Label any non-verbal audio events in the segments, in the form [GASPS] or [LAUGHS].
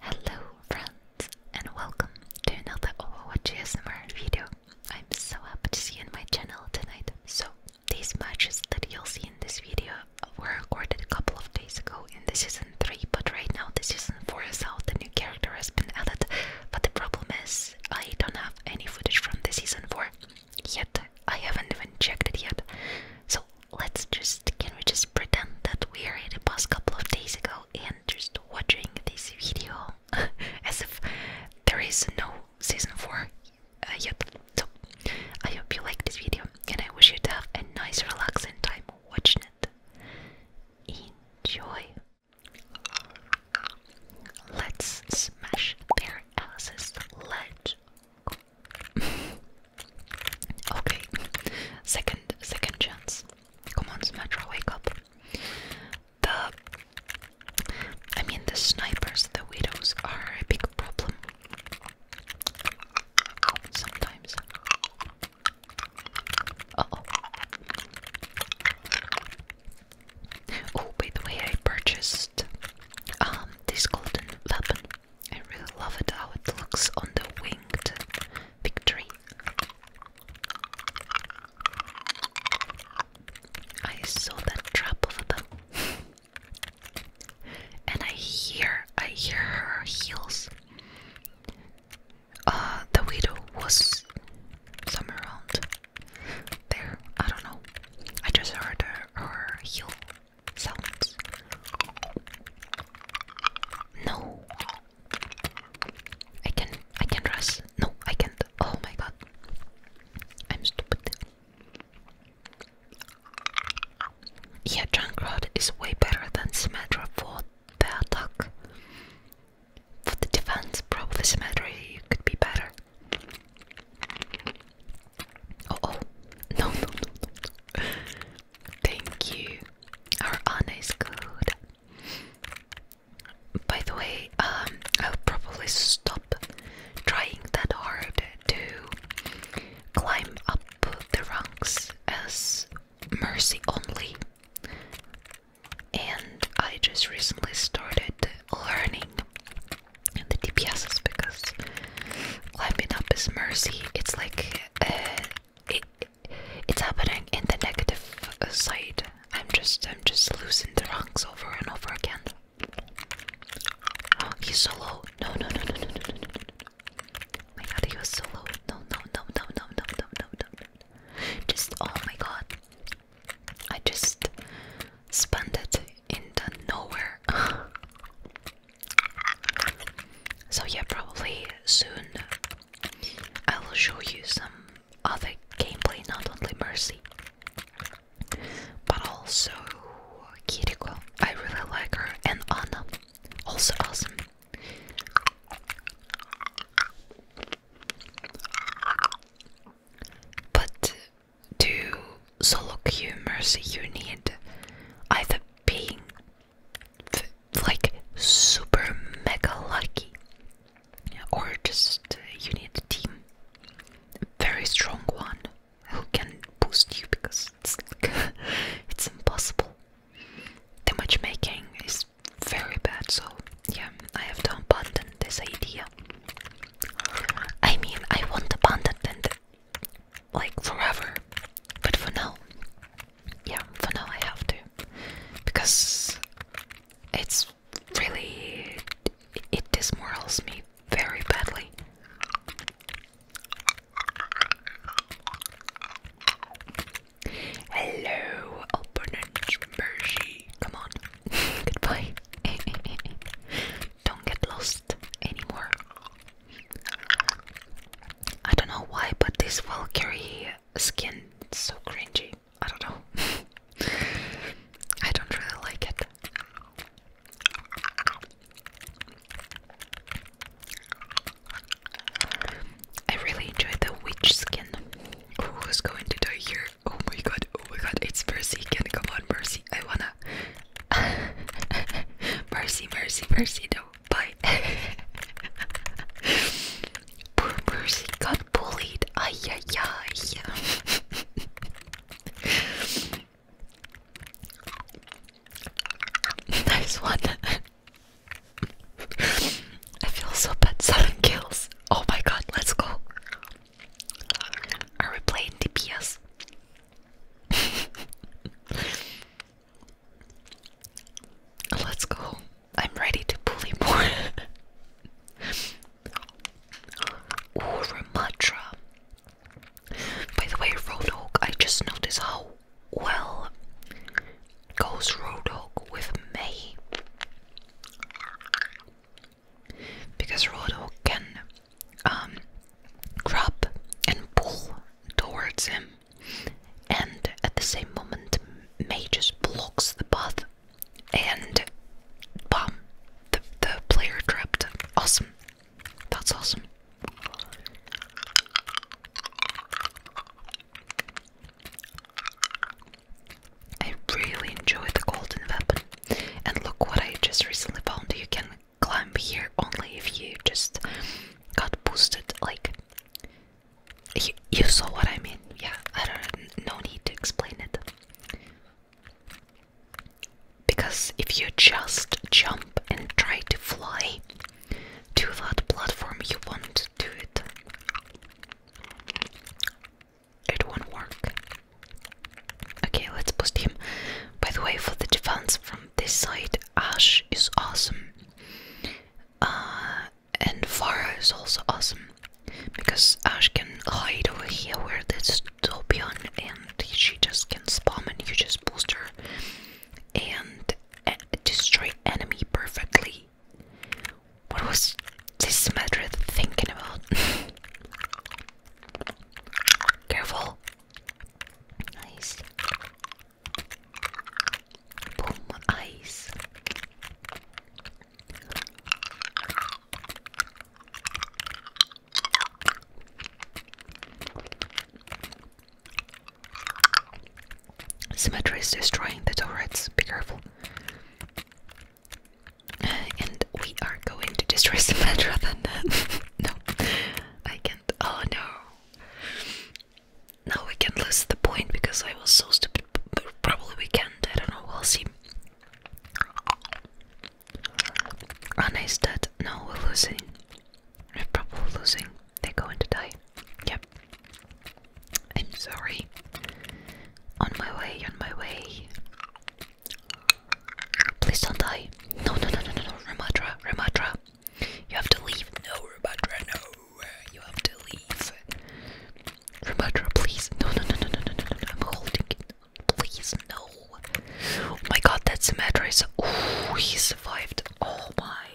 Hello friends and welcome to another Overwatch ASMR video. I'm so happy to see you on my channel tonight. So these matches that you'll see in this video were recorded a couple of days ago in the season 3, but right now the season 4 is out, the new character has been added, but the problem is I don't have any footage from the season 4 yet. I haven't even checked it yet. So let's just can we just pretend that we are in the past couple of days ago and just watching this video [LAUGHS] as if there is no season 4 uh, yet. So I hope you like this video and I wish you to have a nice relaxing time watching it. Enjoy. Let's smash their asses. Let's [LAUGHS] Okay, second second chance. Come on, Symmetra, wake up. The I mean the snipers, the widows are a big problem. Sometimes. Uh oh. Oh, by the way, I purchased um this golden weapon I really love it how it looks on the winged victory. I saw that trap over them. [LAUGHS] and I hear I hear her heels. Uh the widow was somewhere around there. I don't know. I just heard her, her heel sounds. No. I can not I can not rush. No, I can't. Oh my god. I'm stupid. Yeah, Junkrat is way better than Symmetra for the attack. For the defense, probably Symmetra could be better. oh. oh. No, no, no, no. Thank you. Our Anna is good. By the way, um, I'll probably stop trying that hard to climb up the ranks as mercy only. And I just recently started learning the DPSs because climbing up is mercy. It's like uh, it's happening in the negative side. I'm just I'm just losing the ranks over and over again. Oh, he's so low. No no no no no no no no no. My god, he was so low. No no no no no no no no no. Just oh my god. I just spent it in the nowhere. So, yeah, probably soon I will show you some other gameplay, not only Mercy, but also Kiriko. I really like her, and Anna, also awesome. But to solo queue Mercy, you need either being like super mega lucky, or just uh, you need a team, a very strong one who can boost you because it's like, [LAUGHS] it's impossible. The matchmaking is very bad, so yeah, I have to abandon this idea. I mean, I want to abandoned, like forever. But for now, yeah, for now I have to because it's really it, it me very badly. Hello, opponent Mercy. Come on. [LAUGHS] Goodbye. [LAUGHS] Don't get lost anymore. I don't know why, but this Valkyrie skin is so cringy. I don't know. [LAUGHS] I don't really like it. I really enjoy the witch skin. Who's going to die here? Oh my god, oh my god, it's Mercy again. Come on, Mercy. I wanna. [LAUGHS] mercy, Mercy, Mercy, no but [LAUGHS] poor Mercy got bullied. Ay [LAUGHS] nice one. I feel so bad. Seven kills. Oh my god, let's go. Are we playing DPS? [LAUGHS] Let's go. I'm ready to bully more. [LAUGHS] Ooh, By the way, Roadhog, I just noticed how well goes Roadhog with me Because Roadhog can um, grab and pull towards him and at the same moment mages blocks the path and bam the, player dropped. awesome that's awesome I really enjoy the golden weapon and look what I just recently found you can climb here only if you just got boosted. Like, you, you saw what I mean. Yeah, I don't no need to explain it. Because if you just jump and try to fly to that platform, you won't do it. It won't work. Okay, let's boost him. By the way, for the defense from this side, Ash is awesome. Uh, and Farah is also awesome because Ash can hide over here where there's Topion and she just can spam and you just boost her and uh, destroy enemy perfectly. What was this Madred thinking about? [LAUGHS] Careful. Nice. Bomb ice. Symmetry is destroying the turrets. Be careful. Uh, and we are going to destroy [LAUGHS] Symmetra [LAUGHS] no, I can't. Oh no. Now we can lose the point because I was so stupid. But probably we can't. I don't know. We'll see. Anna is dead. No, we're losing. We're probably losing. They're going to die. Yep. I'm sorry. On my way, on my way. Please don't die. No, no, no, no, no, no. Ramatra, Ramatra. You have to leave. No, Ramatra, no. You have to leave. Ramatra, please. No, no, no, no, no, no, no, no. I'm holding it. Please, no. Oh my god, that Symmetra is. Ooh, he survived. Oh my.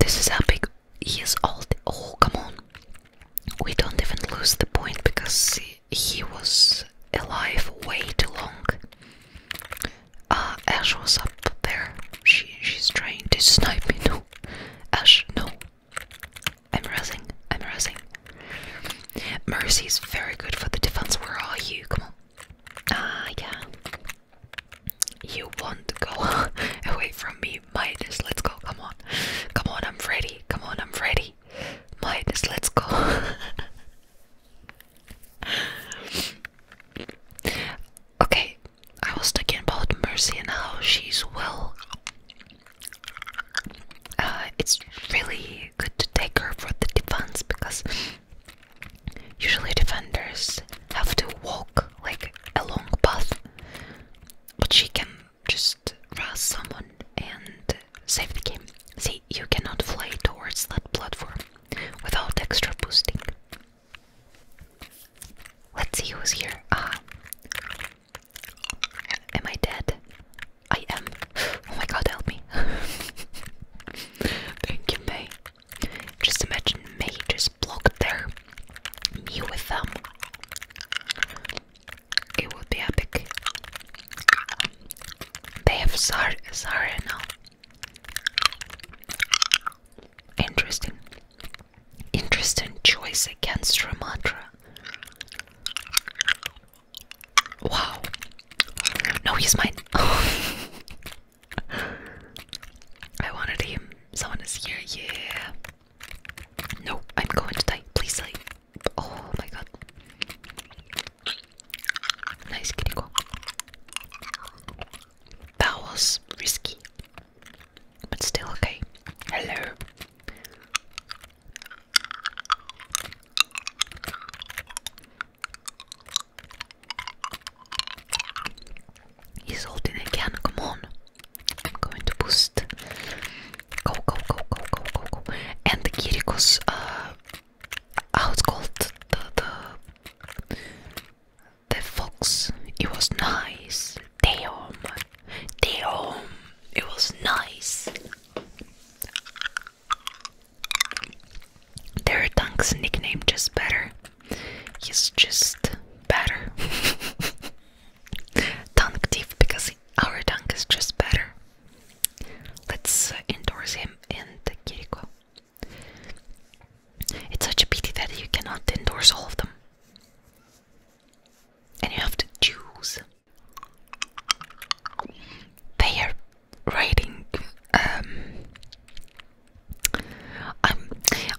This is epic. He is all. Oh, come on. We don't even lose the point because he was alive way too long. Uh, Ash was up there. She she's trying to snipe me. [LAUGHS] No, Ash, no. I'm rising. I'm rising. Mercy is very good for the defense. Where are you? Come on. Ah, yeah. You want to go [LAUGHS] away from me, Midas? Let's go. Come on. Come on. I'm ready. Come on. I'm ready. Midas, let's go. [LAUGHS] okay, I was talking about Mercy and how she's well. Uh, it's really good to take her for the defense because usually defenders have to walk like a long path, but she can just rush someone and save the game. See, you cannot fly towards that platform without extra boosting. Let's see who's here. Ah. Am I dead? I am. Oh my god, help me. [LAUGHS] Thank you, May. Just imagine May just blocked there. Me with them. It would be epic. They have Sar Zarya now. Interesting. Interesting choice against Ramatra. Wow. No, he's mine. [LAUGHS] I wanted him. Someone is here. Yeah. No, I'm going to die. Please die. Oh my god. Nice critical. That was risky, but still okay. Hello. He's ulting again, come on. I'm going to boost. Go, go, go, go, go, go, go. And the Kiriko's uh, how was called the the the fox. It was nice. Damn, damn, it was nice. Their Dunk's nickname just better. He's just better. [LAUGHS] Dunk Thief because our Dunk is just better. Let's endorse him and Kiriko. It's such a pity that you cannot endorse all of them. And you have to choose. They are writing. Um, I'm,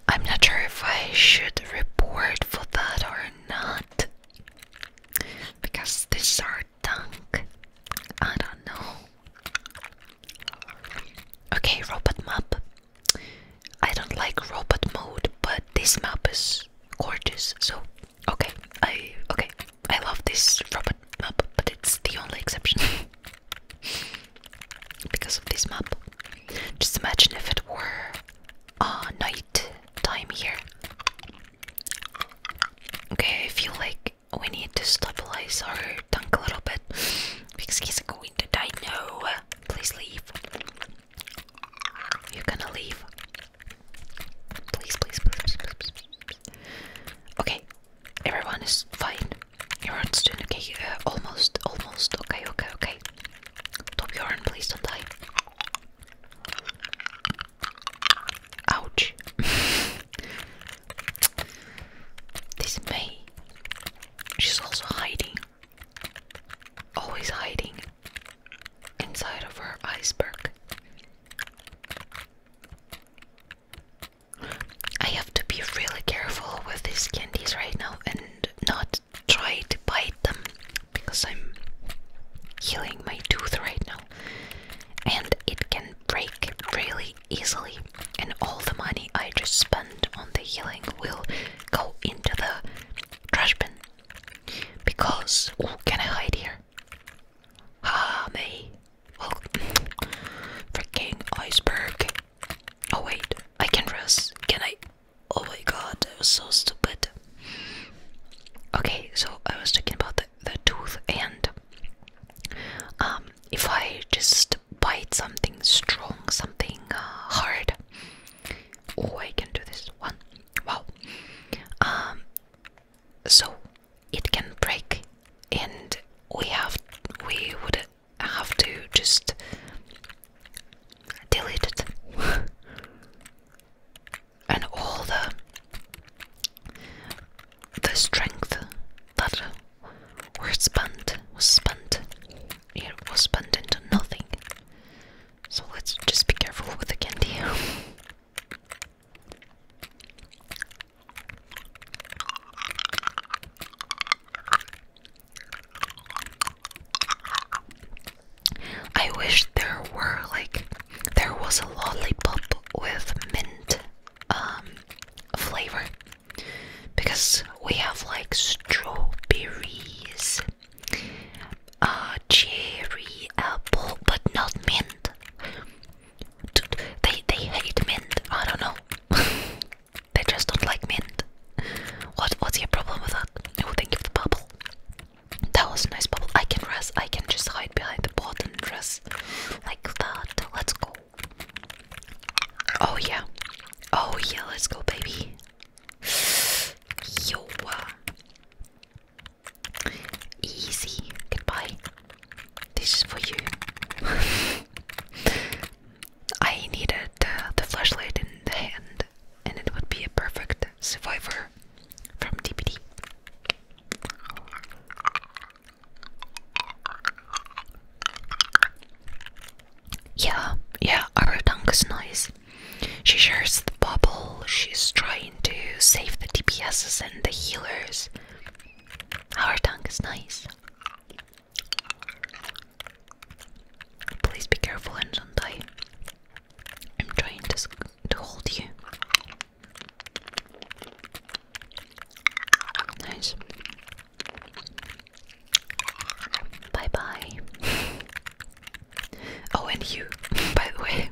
I'm not sure if I should report for that or not, because these are dunk? I don't know. Okay, robot map. I don't like robot mode, but this map is gorgeous. So, okay, I okay, I love this robot map, but it's the only exception [LAUGHS] because of this map. Just imagine if it were a night time here. Okay, I feel like we need to stabilize our tank a little bit because he's going to die. No, please leave. You're gonna leave. Please, please, please, Okay, everyone is fine. Everyone's doing okay. Uh, almost, almost. Okay, okay, okay. Top your arm, please don't die. Ouch. [LAUGHS] this May. She's also hiding. Always hiding inside of her iceberg. I have to be really careful with these candies right now and not try to bite them because I'm healing my tooth right now and it can break really easily. And all the money I just spent on the healing will go into the trash bin. Because, oh, can I hide here? Ah, me. Oh, [SNIFFS] freaking iceberg. Oh, wait, I can rest. Can I? Oh my god, that was so stupid. Okay, so I was talking about the, the tooth and um, if I just bite something strong, something uh, hard. Oh, I can do this one. Wow. Um, so it can break, and we have we would have to just delete it, [LAUGHS] and all the the strength that was spent was spent. It was spent into nothing. So let's just be careful with the candy. [LAUGHS] I wish there were like there was a lollipop with mint um, flavor because we have like strawberries, uh, cherry, apple, but not mint. they they hate mint. I don't know. [LAUGHS] they just don't like mint. What what's your problem with that? Oh, thank you for the bubble. That was a nice bubble. I can rest. I can just hide behind the pot and rest like that. Let's go. Oh, yeah. Oh, yeah, let's go, baby. Yo. Uh, easy. Goodbye. This is for you. [LAUGHS] I needed the flashlight in the hand, and it would be a perfect survivor from DPD. Yeah, yeah, our tongue is nice. She shares the bubble, she's trying to save the DPSs and the healers. Our tongue is nice. Please be careful and don't die. I'm trying to, to hold you. Nice. Bye bye. [LAUGHS] oh, and you, [LAUGHS] by the way. [LAUGHS]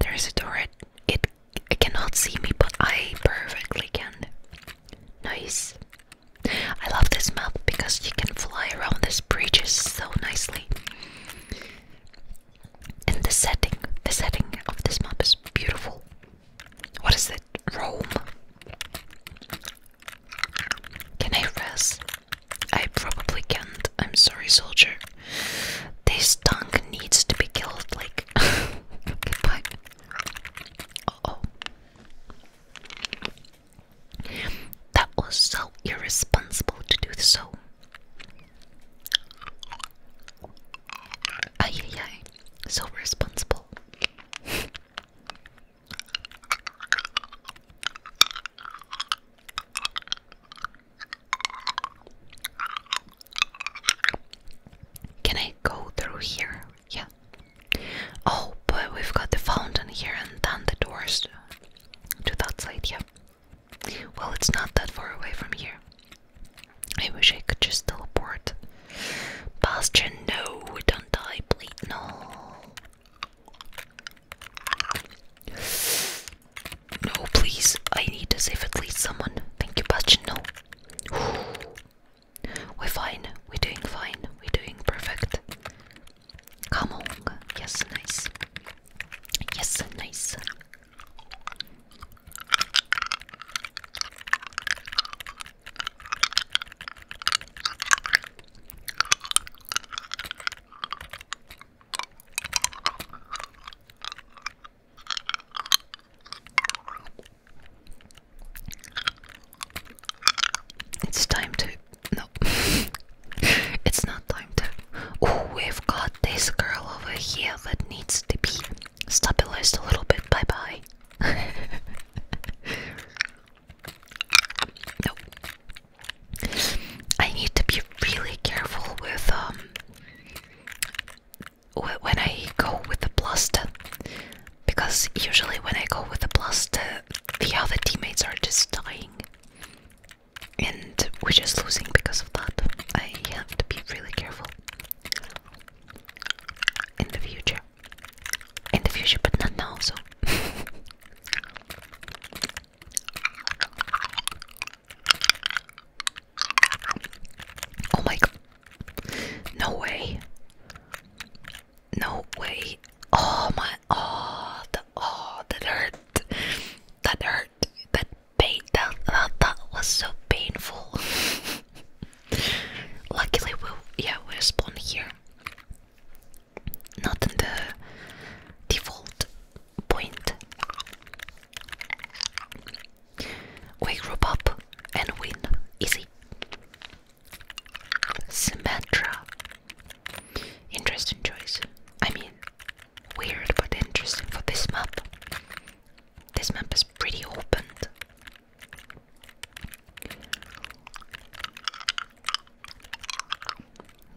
there is a door. It, it, cannot see me, but I perfectly can. Nice. I love this map because you can fly around these bridges so nicely. And the setting, the setting of this map is beautiful. What is it? Rome. Can I rest? I probably can't. I'm sorry, soldier. This tank needs to be killed. Like, goodbye. [LAUGHS] oh. That was so irresponsible to do so. Ay, ay, So responsible. Can I go through here? Yeah. Oh, but we've got the fountain here and then the doors to that side, yeah. Well, it's not that far away from here. I wish I could just teleport. Bastion, no, don't die, please. No. No, please. I need to save at least someone. Thank you, Bastion. No. We're fine. We're doing fine. We're doing perfect. Come on, Yes, nice. Yes, nice. It's time to no it's not time to oh we've got this girl over here that needs to be stabilized a little bit bye bye no I need to be really careful with um when I go with the blaster because usually when I go with the blaster the other teammates are just dying and we're just losing because of that. I have to be really careful in the future. In the future, but not now, so. [LAUGHS] oh my god. No way. No way. Oh my. Oh, oh that hurt that hurt that pain that that, was so painful [LAUGHS] luckily we we'll, yeah we spawn here not in the default point we group up and win easy Symmetra Interesting choice. I mean, weird but interesting for this map. This map is pretty open.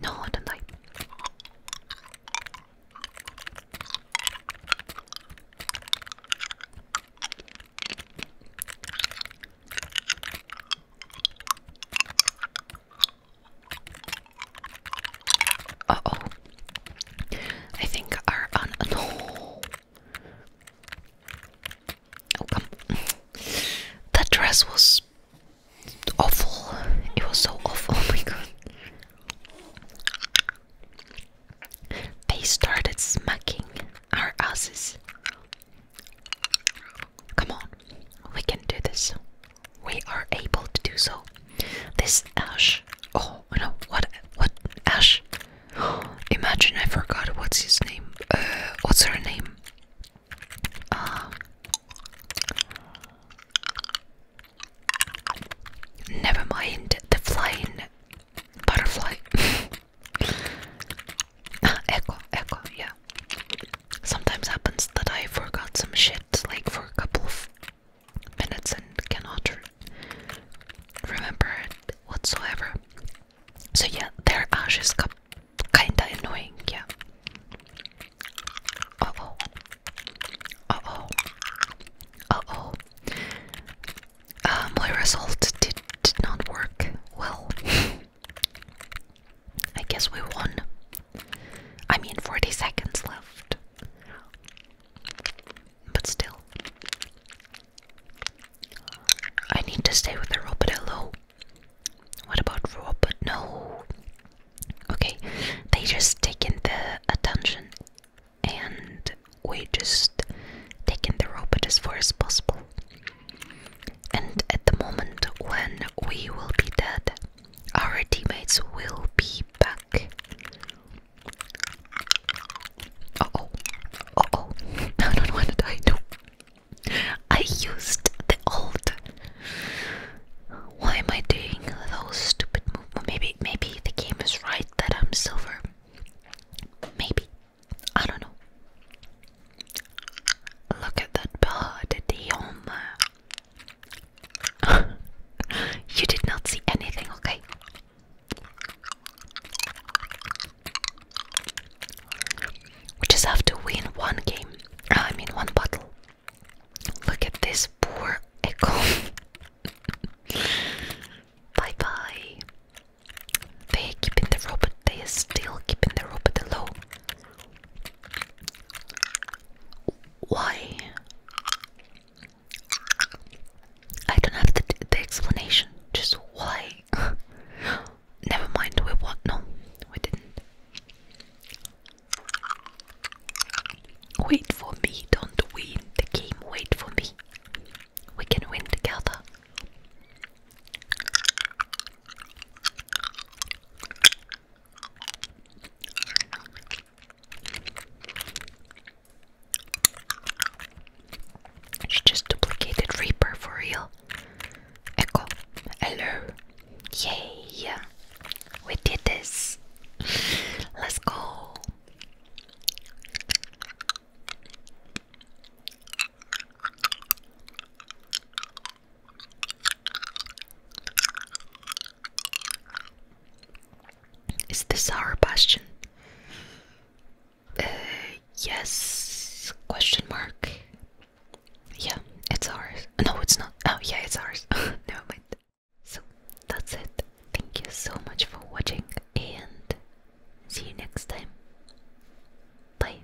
No, I don't like oh. I think our [LAUGHS] no. Oh come. that dress was awful. It was so awful. [LAUGHS] Oh my god. They started smacking our asses. Come on, we can do this. We are able to do so. This Ash. Oh no, what? What? Ash. [GASPS] Imagine I forgot what's his name. Uh, what's her name? Uh, never mind the flying butterfly. [LAUGHS] [SIGHS] echo, echo, yeah. Sometimes happens that I forgot some shit, like for a couple of minutes and cannot remember whatsoever. So yeah, their ash is kinda annoying, yeah. Uh oh. Uh oh. Uh oh. my result did, did not work well. [LAUGHS] I guess we won. I mean, 40 seconds left. But still. I need to stay with the robot hello. What about robot? No. Okay, they just taken the attention and we just taken the robot as far as possible. And at the moment when we will be dead, our teammates will be back. oh, oh, [LAUGHS] I don't want to die. No, I used the old. Why am I doing those stupid movements? Maybe, maybe the game is right that I'm silver. Maybe I don't know. Look at that bird, Dion. [LAUGHS] you did not see anything, okay? We just have to win one game. Uh, I mean, one battle. Look at this poor echo. [LAUGHS] bye bye. They're keeping the robot. They are still keeping the robot low. Why? I don't have the, the explanation. Just why? [LAUGHS] Never mind. We what? No, we didn't. Wait for me. Don't win the game. Wait for me. We can win together. She just duplicated Reaper for real. Echo. Hello. Yay. We did this. [LAUGHS] Let's go. Is this our bastion? Uh, yes? Question mark. Yeah, it's ours. No, it's not. Oh, yeah, it's ours. [LAUGHS] Never mind. So that's it. Thank you so much for watching, and see you next time. Bye.